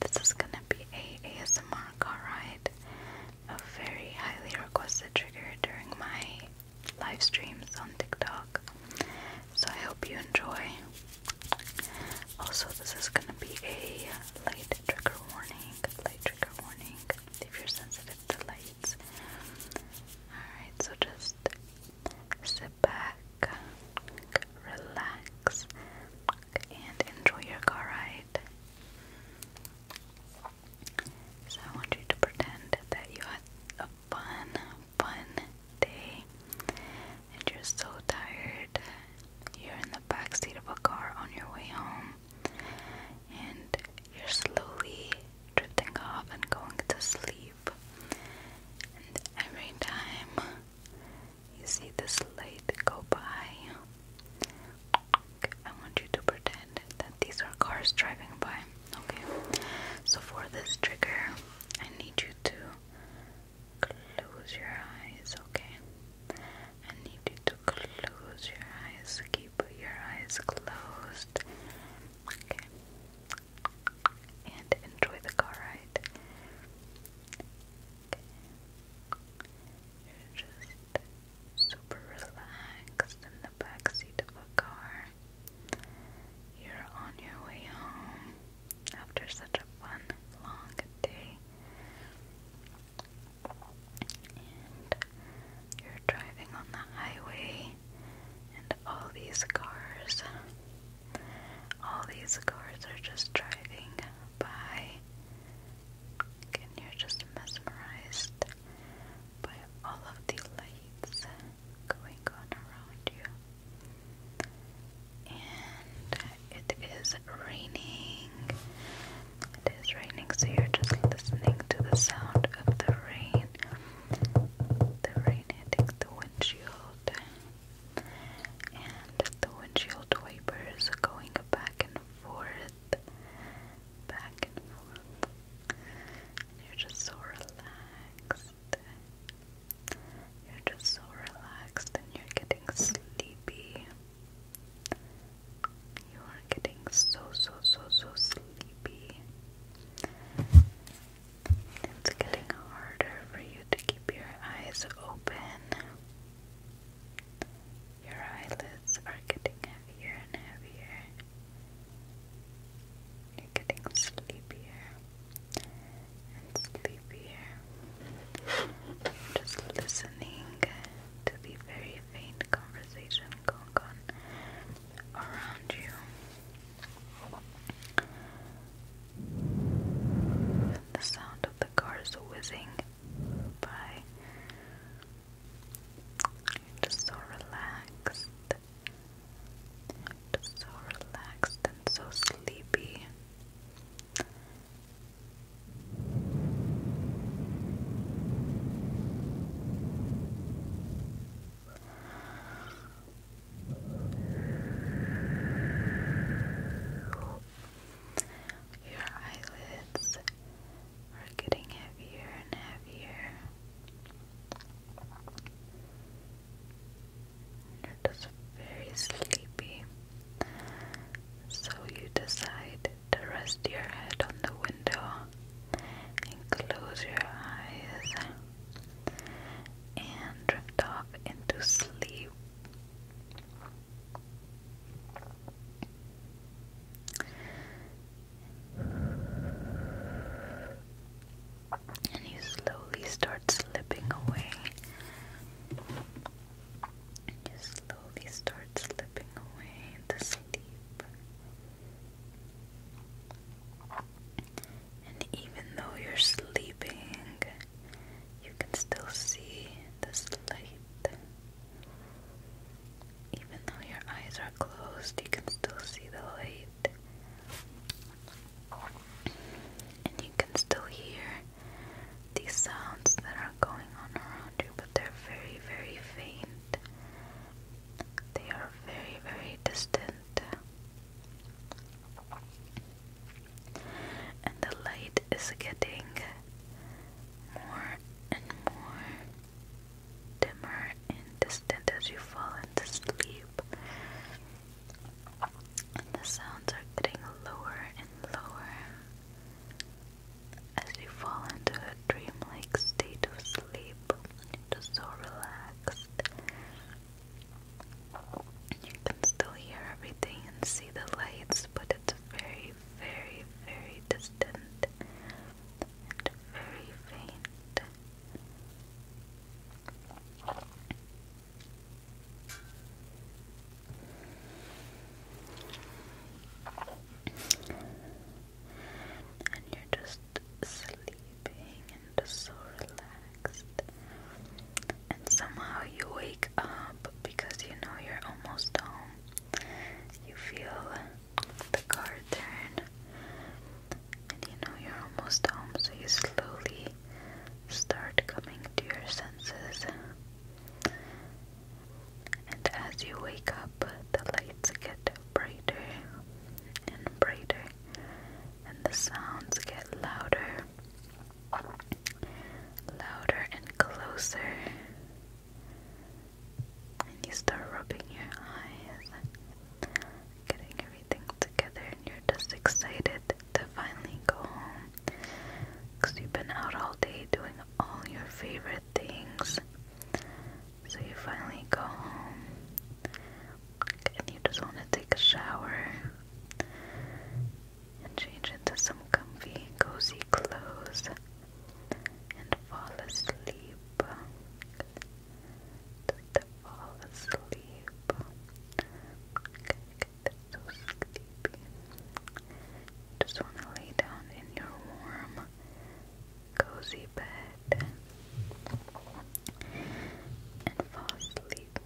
This is gonna be a ASMR car ride, a very highly requested trigger during my live streams on TikTok. So I hope you enjoy. Also, this is gonna be a light trigger warning. Light trigger warning if you're sensitive to lights. Alright, so just sit back, relax, and enjoy your car ride. So I want you to pretend that you had a fun, fun day and you're so tired. You're in the back seat of a car on your way home and you're slowly drifting off and going to sleep. And every time you see this light go by, I want you to pretend that these are cars driving by. Okay, so for this trigger, I need you to close your eyes, okay? I need you to close your eyes. You put your eyes closed. Okay. And enjoy the car ride. You're just super relaxed in the back seat of a car. You're on your way home after such a fun, long day. And you're driving on the highway, and all these cars, all these cars are just driving by. And you're just mesmerized by all of the lights going on around you. And it is raining. It is raining, so you're just listening to the sound of the rain. The rain hitting the windshield. And the windshield wipers going back and forth. Back and forth. You're just so relaxed. You're just so relaxed and you're getting sleepy. You are getting so, so, so, so sleepy. It's getting harder for you to keep your eyes open. Your eyelids are getting heavier and heavier. You're getting sleepier and sleepier just listening to the very faint conversation going on around you. the sound of the cars whizzing by. just so relaxed. Just so relaxed and so sleepy. Your eyelids are getting heavier and heavier you very sleepy. So you decide to rest your head on the window and close your eyes and drift off into sleep and you slowly start slipping away. You slowly start slipping away into sleep. And even though you're sleeping, you can still see this light. Even though your eyes are closed, you can still see the light and you can still hear these sounds that are going on around you, but they're very, very faint. They are very, very distant. And the light is getting more and more dimmer and distant as you fall into sleep. And the sounds are getting lower and lower as you fall into a dreamlike state of sleep. you just so relaxed. You can still hear everything and see the lights, but it's very, very, very distant and very faint. And you're just sleeping and so relaxed. And somehow you wake up because you know you're almost home. You feel the car garden. And you know you're almost home, so you slowly start coming to your senses. And as you wake up, the lights get brighter and brighter, and the sounds get louder, louder and closer and you start rubbing your eyes, getting everything together, and you're just excited to finally go home because you've been out all day doing all your favorite things. So you finally go home, and you just want to take a shower and change into some comfy, cozy clothes and fall asleep. Just fall asleep. Get so Just want to lay down in your warm, cozy bed and fall asleep.